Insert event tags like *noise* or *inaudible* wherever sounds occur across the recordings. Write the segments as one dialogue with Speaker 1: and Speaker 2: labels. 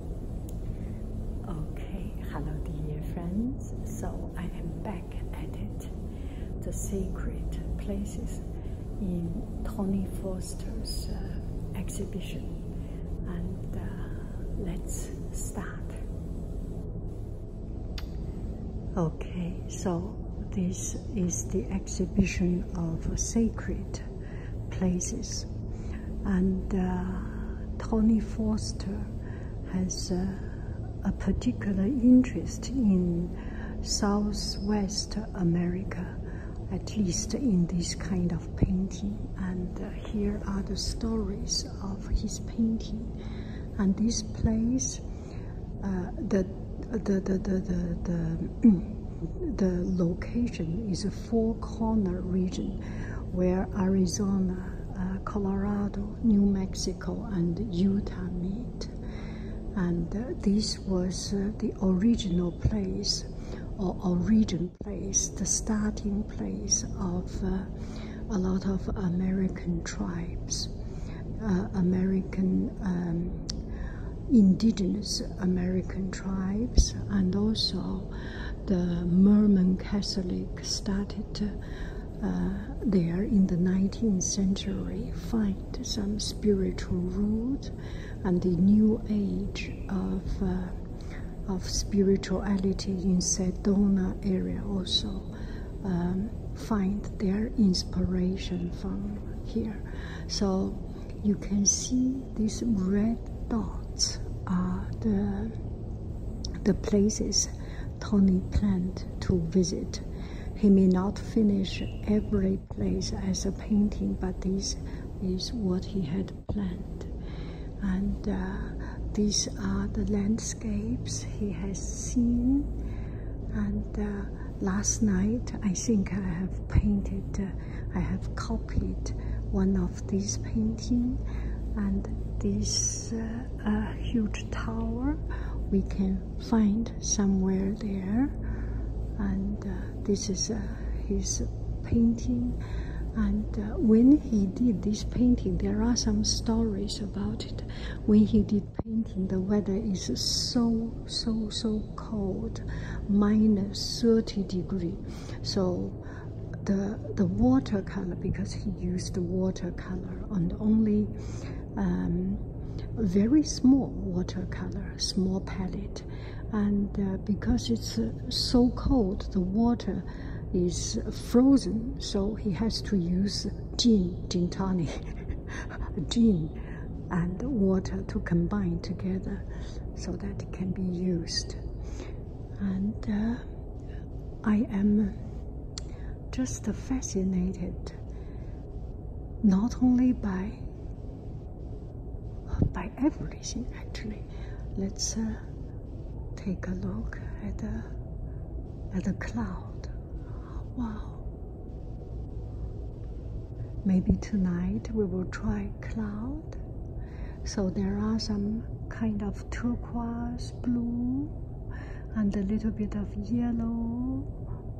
Speaker 1: Okay, hello dear friends. So I am back at it. The Secret Places in Tony Foster's uh, exhibition. And uh, let's start. Okay, so this is the exhibition of Sacred places. And uh, Tony Foster has a particular interest in Southwest America, at least in this kind of painting. And uh, here are the stories of his painting. And this place, uh, the, the, the, the, the, the *clears throat* location is four corner region where Arizona, uh, Colorado, New Mexico, and Utah meet. And uh, this was uh, the original place or origin place, the starting place of a lot of American tribes, American um, indigenous American tribes, and also the Mormon Catholic started uh, there in the 19th century find some spiritual roots and the new age of uh, of spirituality in Sedona area also um, find their inspiration from here. So you can see these red dots are the the places Tony planned to visit. He may not finish every place as a painting, but this is what he had planned. And uh, these are the landscapes he has seen. And uh, last night, I think I have painted uh, I have copied one of these painting and this uh, huge tower we can find somewhere there and uh, this is uh, his painting and when he did this painting there are some stories about it when he did painting the weather is so so so cold minus 30 degree so the the watercolor because he used watercolor and only um, very small watercolor, small palette, and uh, because it's uh, so cold, the water is frozen, so he has to use gin, gin tani *laughs* gin, and water to combine together, so that it can be used and uh, I am just fascinated not only by uh, by everything actually. Let's uh, take a look at the at the cloud. Wow. Maybe tonight we will try cloud so there are some kind of turquoise blue and a little bit of yellow,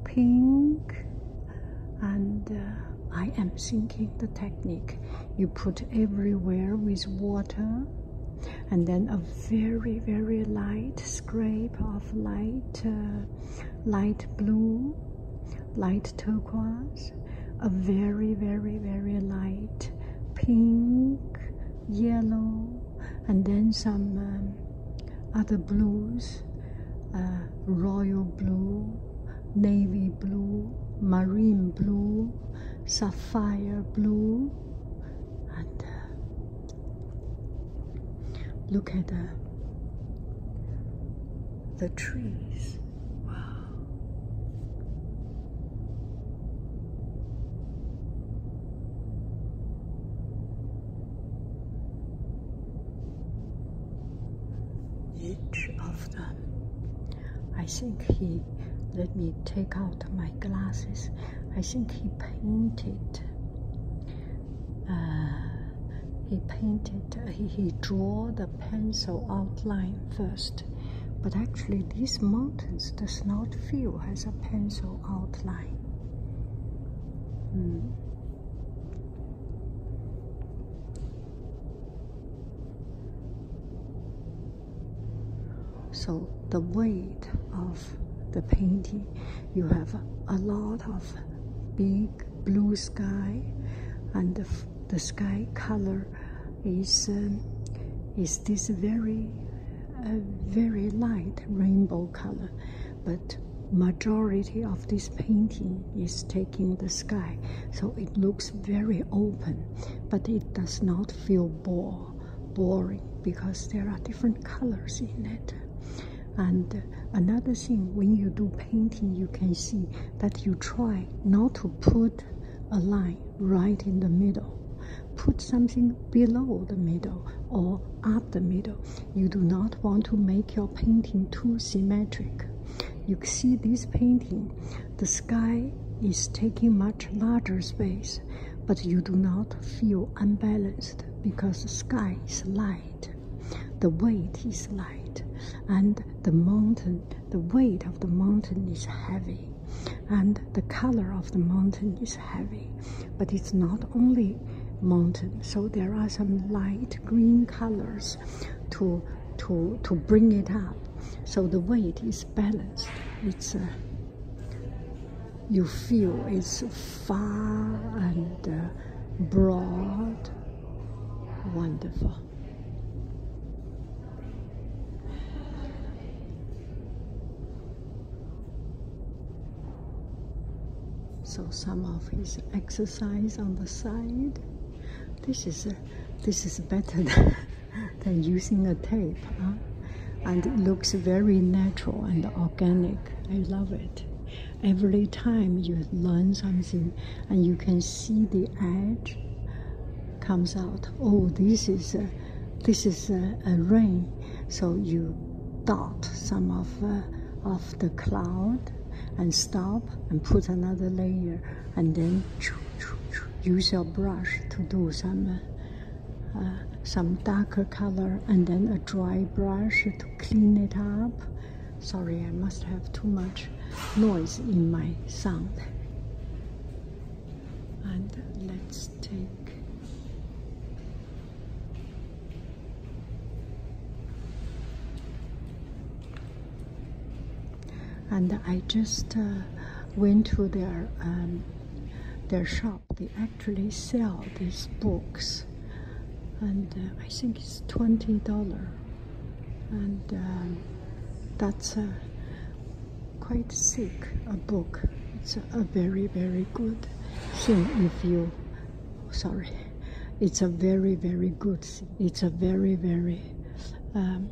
Speaker 1: pink, and uh, I am sinking the technique you put everywhere with water and then a very very light scrape of light uh, light blue light turquoise a very, very, very light pink, yellow, and then some um, other blues uh, royal blue, navy blue, marine blue, sapphire blue, and uh, look at the, uh, the trees. Wow each of them. I think he let me take out my glasses. I think he painted. Uh, he painted. He, he drew the pencil outline first but actually these mountains does not feel as a pencil outline hmm. so the weight of the painting you have a lot of big blue sky and the the sky color is um, is this very uh, very light rainbow color but majority of this painting is taking the sky so it looks very open but it does not feel bore, boring because there are different colors in it and another thing when you do painting you can see that you try not to put a line right in the middle. Put something below the middle or up the middle. You do not want to make your painting too symmetric. You see this painting, the sky is taking much larger space, but you do not feel unbalanced because the sky is light, the weight is light, and the mountain, the weight of the mountain is heavy and the color of the mountain is heavy but it's not only mountain so there are some light green colors to to to bring it up so the weight is balanced it's uh, you feel it's far and uh, broad wonderful so some of his exercise on the side. This is uh, this is better *laughs* than, using a tape, and it looks very natural and organic. I love it. Every time you learn something, and you can see the edge comes out. Oh, this is a, this is a, rain. So you dot some of uh, of the cloud and stop and put another layer and then use your brush to do some uh, uh, some darker color and then a dry brush to clean it up. Sorry, I must have too much noise in my sound and let's take and I just uh, went to their um, their shop they actually sell these books and uh, I think it's $20 and um, that's uh, quite sick a book it's a very very good thing if you sorry it's a very very good thing. it's a very very um,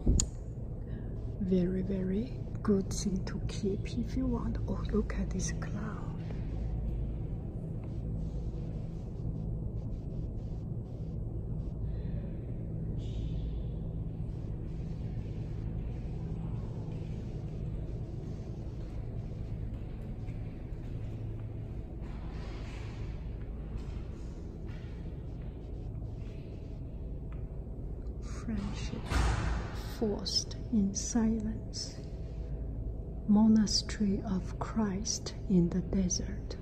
Speaker 1: very very good thing to keep if you want oh look at this cloud friendship forced in silence. Monastery of Christ in the desert.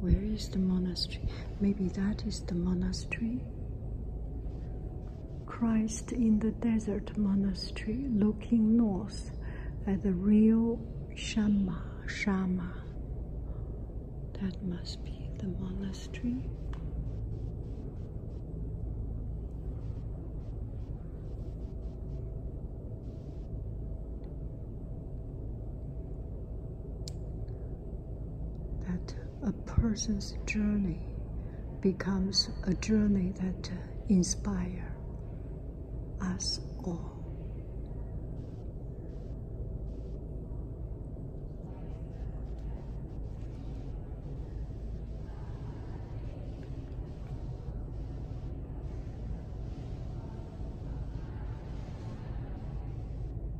Speaker 1: Where is the monastery? Maybe that is the monastery. Christ in the desert monastery looking north at the real Shama, Shama. That must be the monastery. That a person's journey becomes a journey that inspires us all.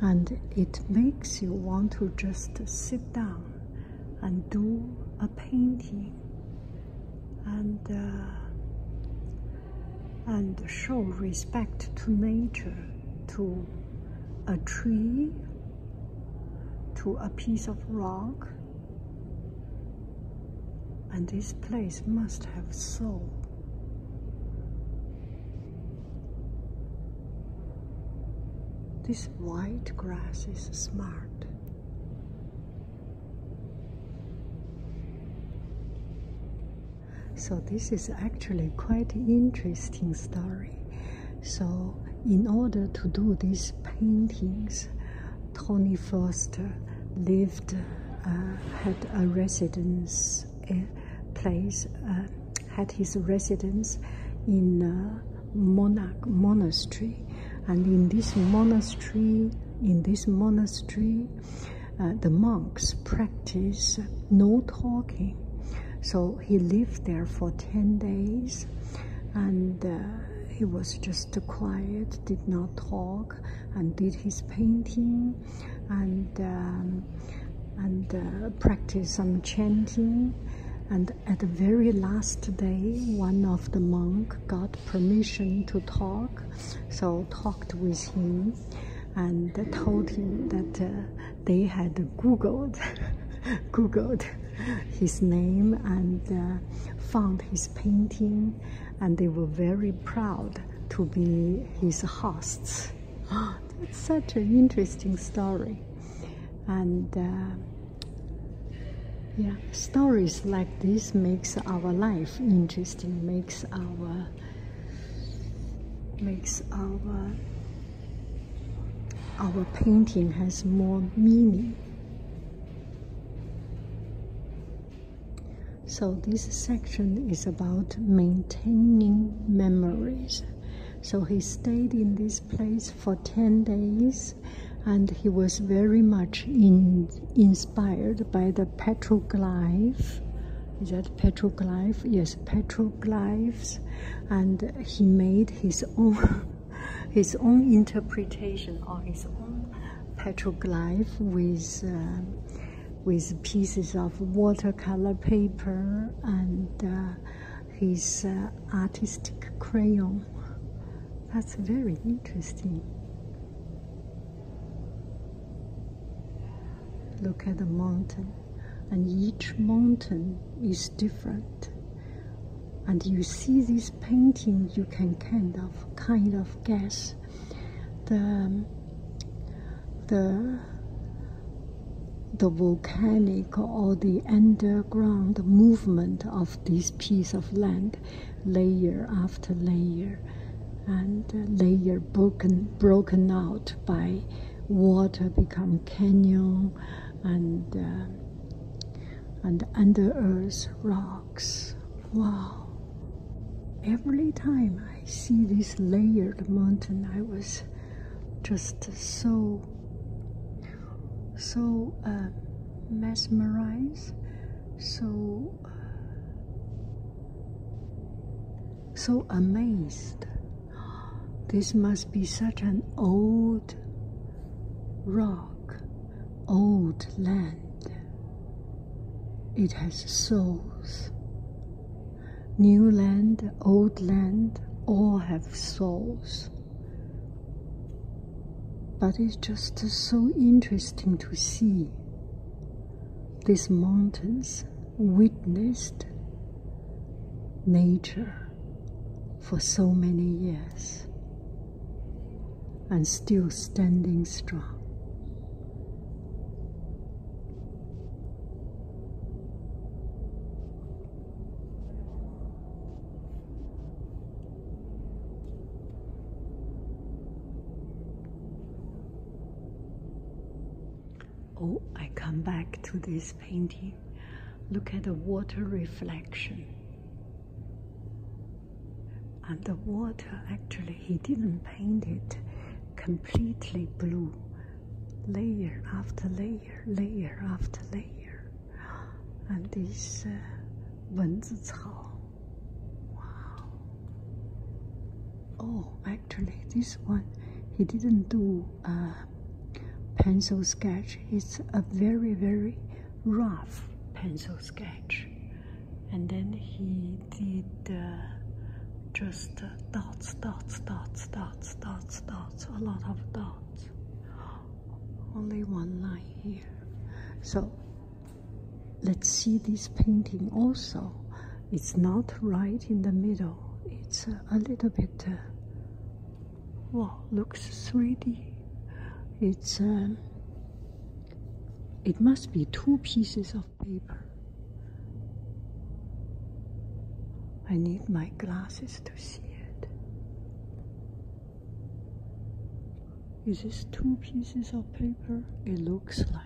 Speaker 1: and it makes you want to just sit down and do a painting and uh, and show respect to nature to a tree to a piece of rock and this place must have soul this white grass is smart. So this is actually quite interesting story. So in order to do these paintings, Tony Foster lived, uh, had a residence place, uh, had his residence in uh, Monastery, and in this monastery, in this monastery, uh, the monks practice no talking. So he lived there for ten days, and. Uh, he was just quiet, did not talk, and did his painting, and um, and uh, practice some chanting. And at the very last day, one of the monk got permission to talk, so talked with him and told him that uh, they had Googled, *laughs* Googled his name and uh, found his painting, and they were very proud to be his hosts. *gasps* That's such an interesting story and uh, yeah stories like this makes our life interesting makes our makes our our painting has more meaning so this section is about maintaining memories so he stayed in this place for 10 days and he was very much inspired by the petroglyph. Is that petroglyph? Yes, petroglyphs. And he made his own, *laughs* his own interpretation or his own petroglyph with, uh, with pieces of watercolor paper and uh, his uh, artistic crayon. That's very interesting. Look at the mountain, and each mountain is different. And you see this painting, you can kind of kind of guess the the the volcanic or the underground movement of this piece of land, layer after layer, and layer broken broken out by water become canyon and uh, and under earth rocks. Wow. Every time I see this layered mountain, I was just so so uh, mesmerized so uh, so amazed this must be such an old rock old land it has souls New land, old land, all have souls. But it's just so interesting to see these mountains witnessed nature for so many years and still standing strong. Oh, I come back to this painting. Look at the water reflection. And the water, actually, he didn't paint it completely blue, layer after layer layer, layer after layer. And this uh, 蚊子草. Wow. Oh, actually, this one he didn't do a uh, pencil sketch. It's a very, very rough pencil sketch. And then he did uh, just uh, dots, dots, dots, dots, dots, dots dots, a lot of dots. Only one line here. So let's see this painting also. It's not right in the middle. It's a, little bit, uh, well, looks 3D. It's, um, it must be two pieces of paper. I need my glasses to see it. Is this two pieces of paper? It looks like.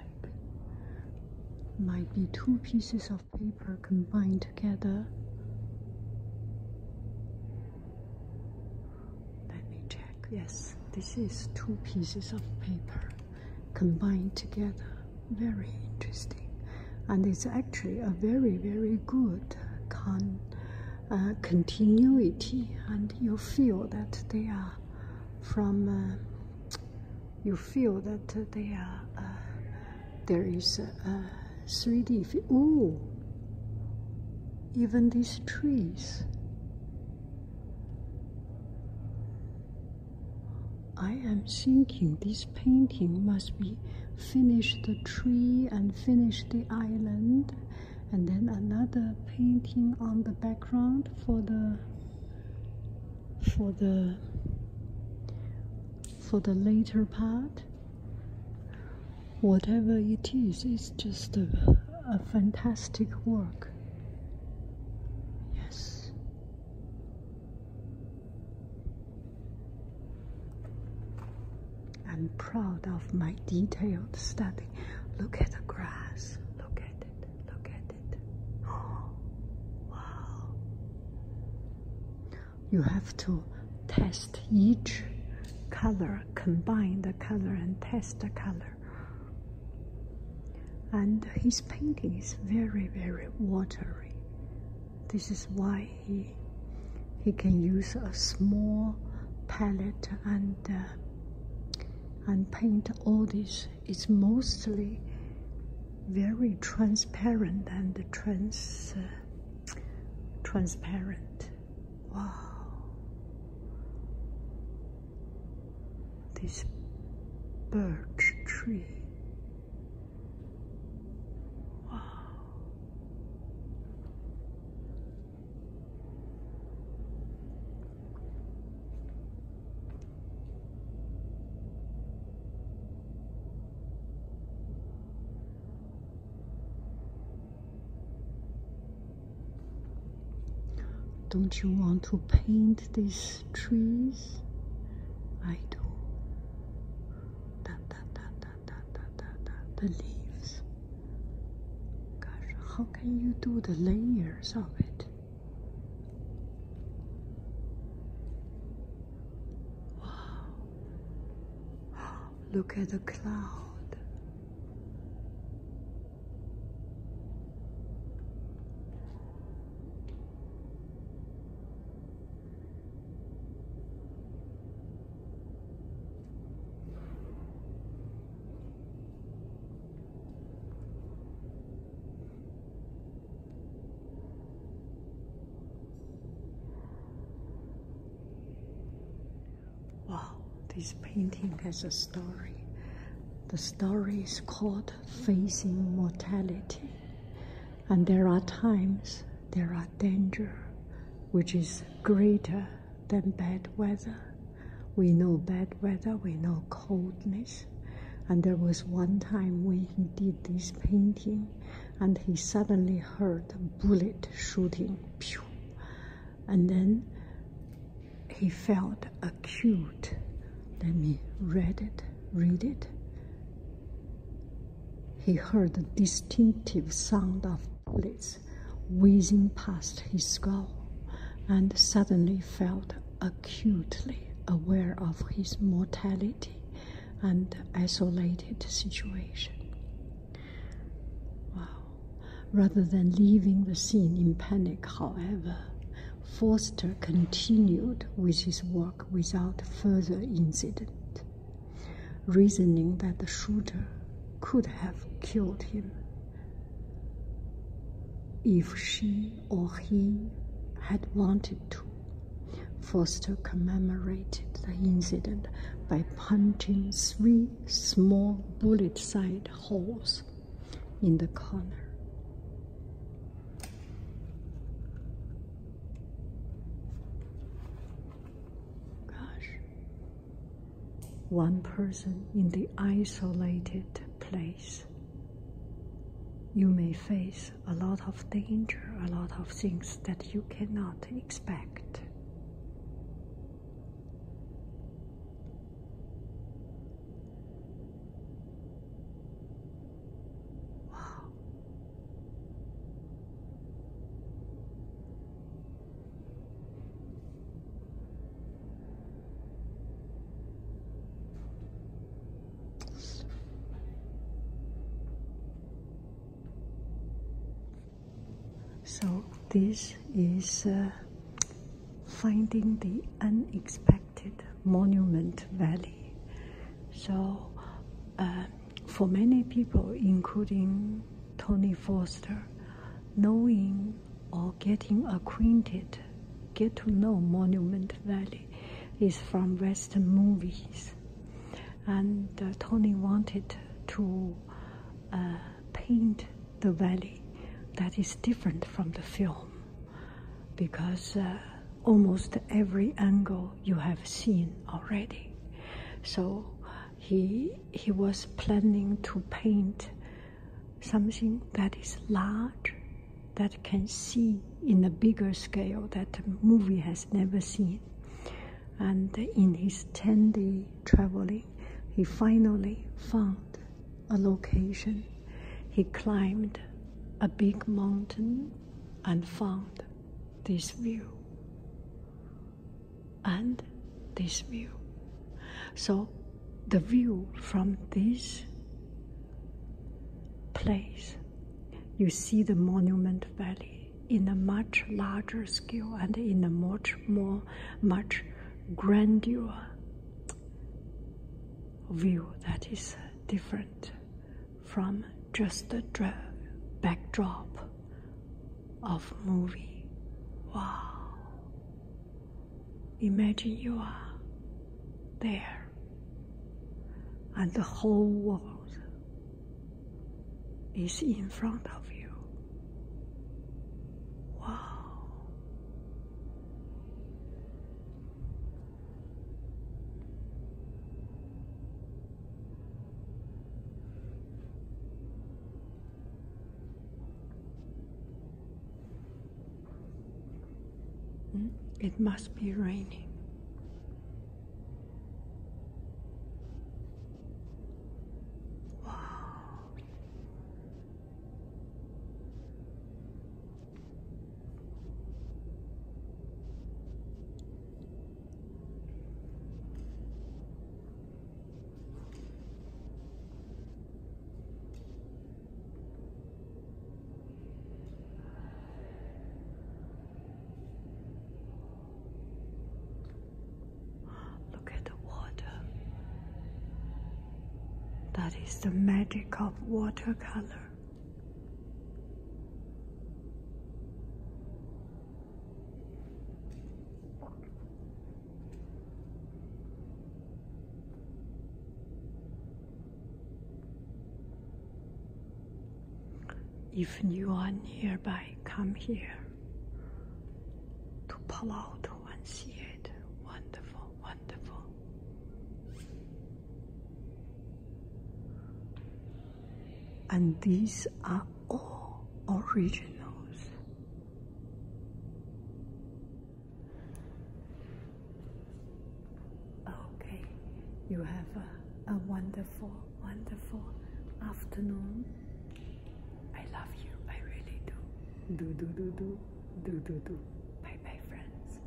Speaker 1: Might be two pieces of paper combined together. Let me check. Yes, this is two pieces of paper combined together very interesting and it's actually a very very good uh, continuity and you feel that they are from uh, you feel that they are uh, there is a, a 3d even these trees I am thinking this painting must be finish the tree and finish the island and then another painting on the background for the for the for the later part whatever it is it's just a, a fantastic work yes I'm proud of my detailed study. Look at the grass. Look at it. Look at it. *gasps* wow. You have to test each color, combine the color and test the color. And his painting is very, very watery. This is why he he can use a small palette and uh, and paint all this. It's mostly very transparent and trans uh, transparent. Wow. This birch tree don't you want to paint these trees? I do. Da, da, da, the leaves. Gosh, how can you do the layers of it? Wow. *gasps* Look at the cloud. Wow, this painting has a story. The story is called Facing Mortality. And there are times there are danger which is greater than bad weather. We know bad weather, we know coldness. And there was one time when he did this painting and he suddenly heard a bullet shooting. Pew! And then he felt acute. Let me read it, read it. He heard the distinctive sound of bullets whizzing past his skull and suddenly felt acutely aware of his mortality and isolated situation. Rather than leaving the scene in panic, however, Forster continued with his work without further incident reasoning that the shooter could have killed him if she or he had wanted to. Foster commemorated the incident by punching three small bullet sized holes in the corner. Gosh. One person in the isolated place. You may face a lot of danger, a lot of things that you cannot expect. Wow, so this is uh, finding the unexpected monument valley so, uh, for many people, including Tony Foster, knowing or getting acquainted, get to know Monument Valley, is from Western movies. And uh, Tony wanted to uh, paint the valley that is different from the film because almost every angle you have seen already. So he he was planning to paint something that is large, that can see in a bigger scale that the movie has never seen. And in his 10 day traveling, he finally found a location. He climbed a big mountain and found this view and this view. So the view from this place, you see the Monument Valley in a much larger scale and in a much more, much grandeur view that is different from just the backdrop of movie. Wow. Imagine you are there and the whole world is in front of you. Wow. Hmm? It must be raining. Wow. Look at the water. That is the magic of watercolor. If you are nearby, come here to pull out and see it. Wonderful, wonderful and these are all originals. Okay, you have a, wonderful, wonderful afternoon. I love you, I really do. Do, do, do, do, do, do, do. Bye bye, friends.